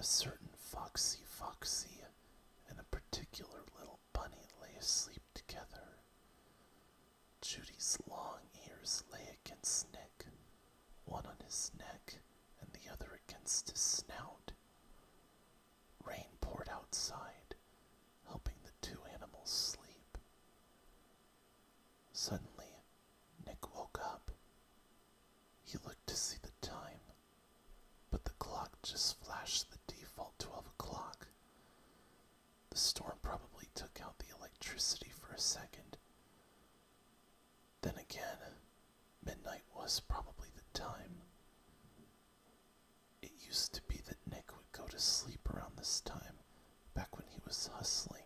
A certain foxy foxy and a particular little bunny lay asleep together. Judy's long ears lay against Nick, one on his neck and the other against his snout. Rain poured outside, helping the two animals sleep. Suddenly, Nick woke up. He looked to see the time, but the clock just flashed the default 12 o'clock. The storm probably took out the electricity for a second. Then again, Midnight was probably the time. It used to be that Nick would go to sleep around this time, back when he was hustling.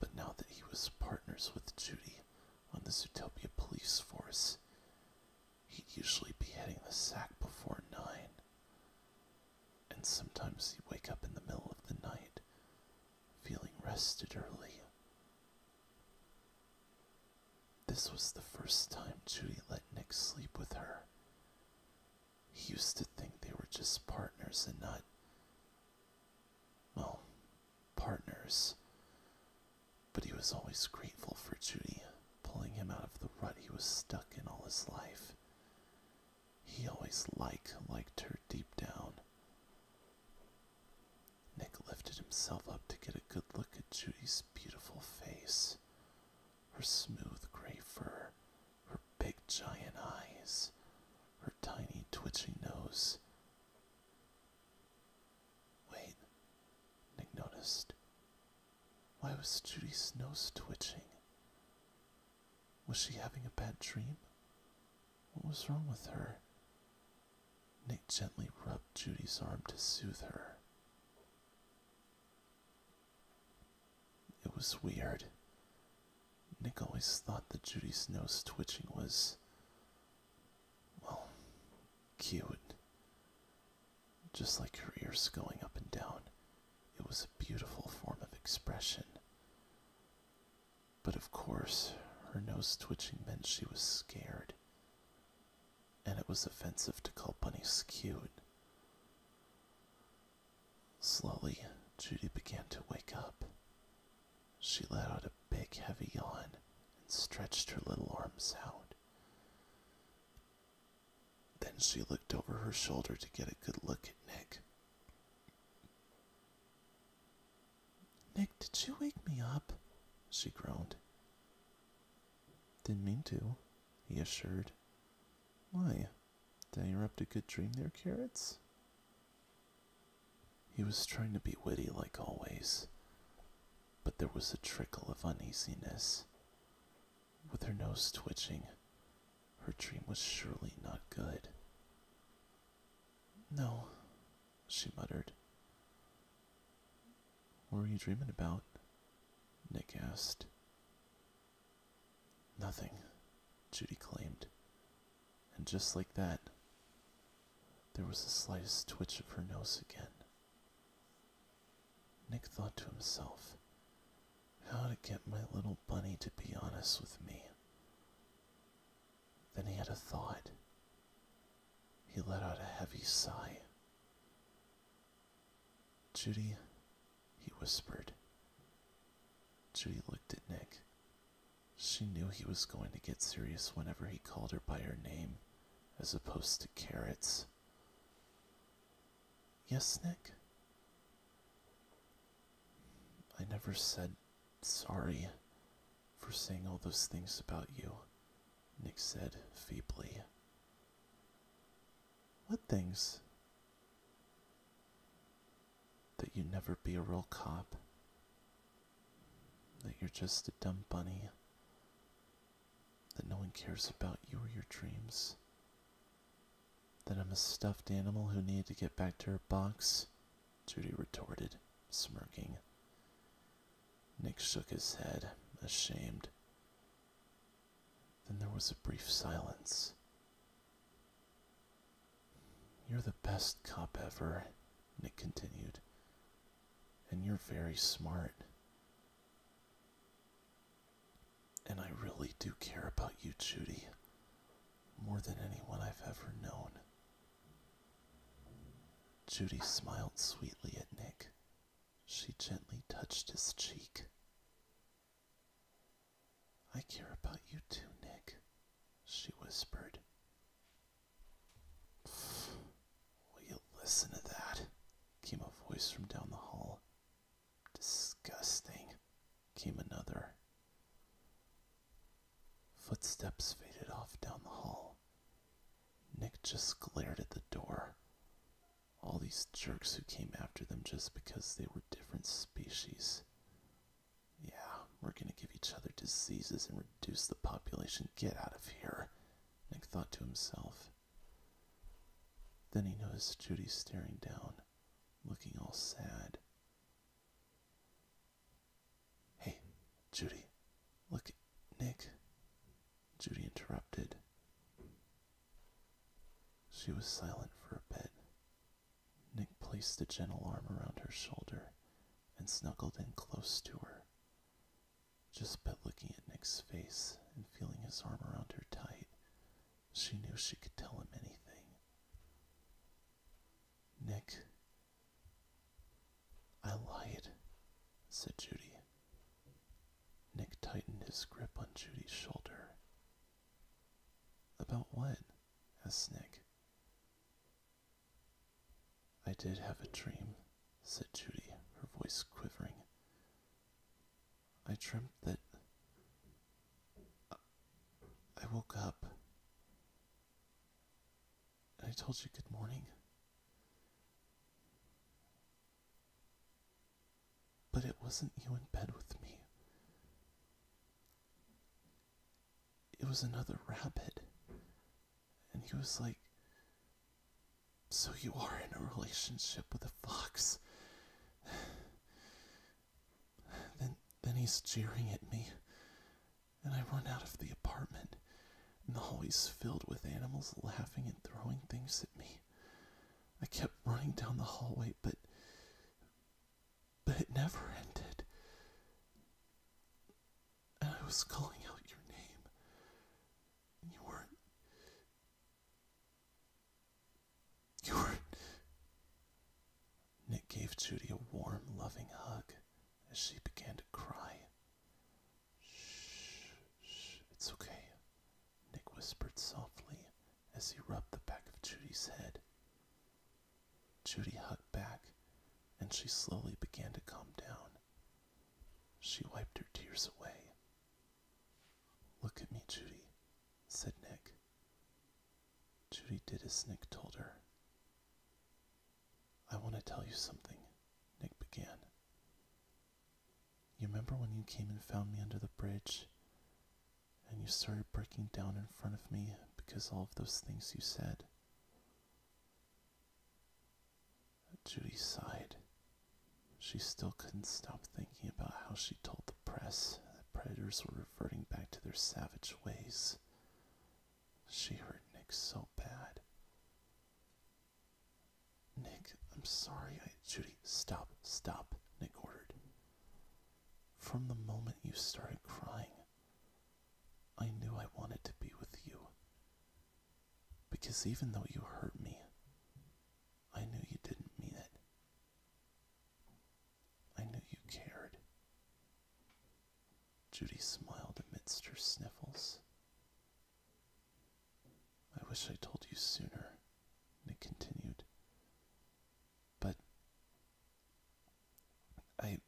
But now that he was partners with Judy on the Zootopia police force, he'd usually be hitting the sack before nine. And sometimes he'd wake up in the middle of the night, feeling rested early. This was the first time Judy let Nick sleep with her. He used to think they were just partners and not. Well, partners. But he was always grateful for Judy pulling him out of the rut he was stuck in all his life. He always liked liked her deep down. Nick lifted himself up to get a good look at Judy's beautiful face. Her smooth gray fur, her big giant eyes, her tiny twitching nose. Wait, Nick noticed. Why was Judy's nose twitching? Was she having a bad dream? What was wrong with her? Nick gently rubbed Judy's arm to soothe her. It was weird. Nick always thought that Judy's nose twitching was, well, cute. Just like her ears going up and down, it was a beautiful form of expression. But of course, her nose twitching meant she was scared and it was offensive to call Bunny Skewed. Slowly, Judy began to wake up. She let out a big, heavy yawn and stretched her little arms out. Then she looked over her shoulder to get a good look at Nick. Nick, did you wake me up? She groaned. Didn't mean to, he assured. Why? Did I interrupt a good dream there, Carrots? He was trying to be witty like always, but there was a trickle of uneasiness. With her nose twitching, her dream was surely not good. No, she muttered. What were you dreaming about? Nick asked. Nothing, Judy claimed. And just like that, there was the slightest twitch of her nose again. Nick thought to himself, how to get my little bunny to be honest with me. Then he had a thought. He let out a heavy sigh. Judy, he whispered. Judy looked at Nick. She knew he was going to get serious whenever he called her by her name, as opposed to carrots. Yes, Nick? I never said sorry for saying all those things about you, Nick said feebly. What things? That you'd never be a real cop. That you're just a dumb bunny. That no one cares about you or your dreams. That I'm a stuffed animal who needed to get back to her box, Judy retorted, smirking. Nick shook his head, ashamed. Then there was a brief silence. You're the best cop ever, Nick continued. And you're very smart. And I really do care about you, Judy, more than anyone I've ever known. Judy smiled sweetly at Nick, she gently touched his cheek. I care about you too, Nick, she whispered. Will you listen to that? came a voice from down the hall. Disgusting, came another. Footsteps faded off down the hall. Nick just glared at the door. All these jerks who came after them just because they were different species. Yeah, we're gonna give each other diseases and reduce the population. Get out of here, Nick thought to himself. Then he noticed Judy staring down, looking all sad. Hey, Judy, look, Nick. Judy interrupted. She was silent for a bit. Nick placed a gentle arm around her shoulder and snuggled in close to her. Just by looking at Nick's face and feeling his arm around her tight, she knew she could tell him anything. Nick, I lied, said Judy. Nick tightened his grip on Judy's shoulder. About what? asked Nick. I did have a dream, said Judy, her voice quivering. I dreamt that I woke up. I told you good morning. But it wasn't you in bed with me. It was another rabbit. And he was like, So you are in a relationship with a fox. then, then he's jeering at me, and I run out of the apartment and the hallways filled with animals laughing and throwing things at me. I kept running down the hallway, but but it never ended. And I was calling out your name, and you weren't. You weren't. Nick gave Judy a warm, loving hug as she began to cry. Shh, shh, it's okay, Nick whispered softly as he rubbed the back of Judy's head. Judy hugged back and she slowly began to calm down. She wiped her tears away. Look at me, Judy, said Nick. Judy did as Nick told her. I want to tell you something, Nick began. You remember when you came and found me under the bridge and you started breaking down in front of me because all of those things you said? Judy sighed. She still couldn't stop thinking about how she told the press that predators were reverting back to their savage ways. She hurt Nick so bad. Nick, I'm sorry. I, Judy, stop, stop, Nick ordered. From the moment you started crying, I knew I wanted to be with you. Because even though you hurt me, I knew you didn't mean it. I knew you cared. Judy smiled amidst her sniffles. I wish I told you sooner, Nick continued. But I.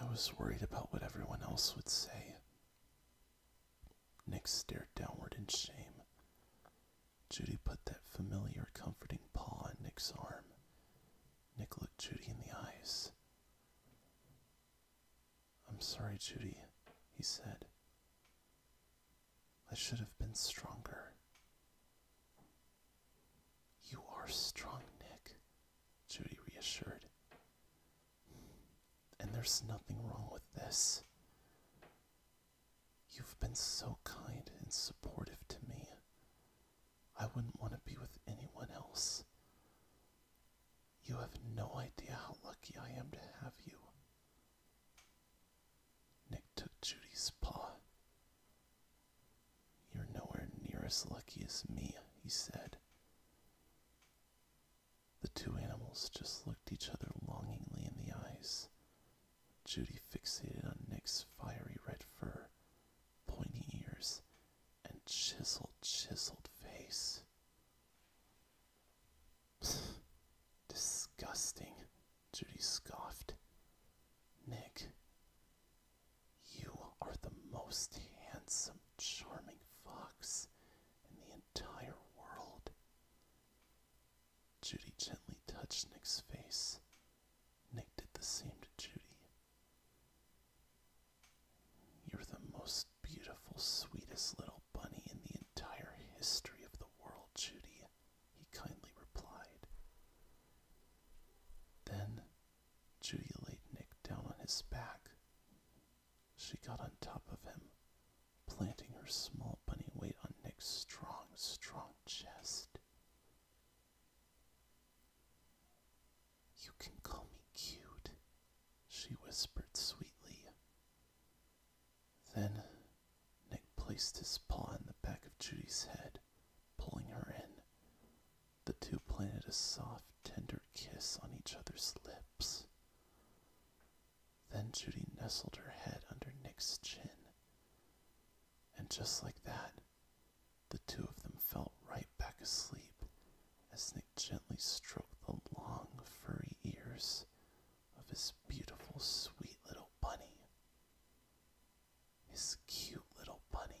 I was worried about what everyone else would say. Nick stared downward in shame. Judy put that familiar, comforting paw on Nick's arm. Nick looked Judy in the eyes. I'm sorry, Judy, he said. I should have been stronger. You are strong, Nick, Judy reassured. And there's nothing wrong with this. You've been so kind and supportive to me. I wouldn't want to be with anyone else. You have no idea how lucky I am to have you. Nick took Judy's paw. You're nowhere near as lucky as me, he said. The two animals just looked each other longingly in the eyes. Judy fixated on Nick's fiery red fur, pointy ears, and chiseled, chiseled face. Disgusting, Judy scoffed. Nick, you are the most handsome, charming fox in the entire world. Judy gently touched Nick's face. Nick did the same to Judy. You're the most beautiful, sweetest little bunny in the entire history of the world, Judy, he kindly replied. Then Judy laid Nick down on his back. She got on top of him, planting her small bunny weight on Nick's strong, strong chest. You can call me cute, she whispered sweetly. Then Nick placed his paw in the back of Judy's head, pulling her in. The two planted a soft, tender kiss on each other's lips. Then Judy nestled her head under Nick's chin. And just like that, the two of them fell right back asleep as Nick gently stroked the long, furry ears of his beautiful, sweet little bunny. His cute little bunny.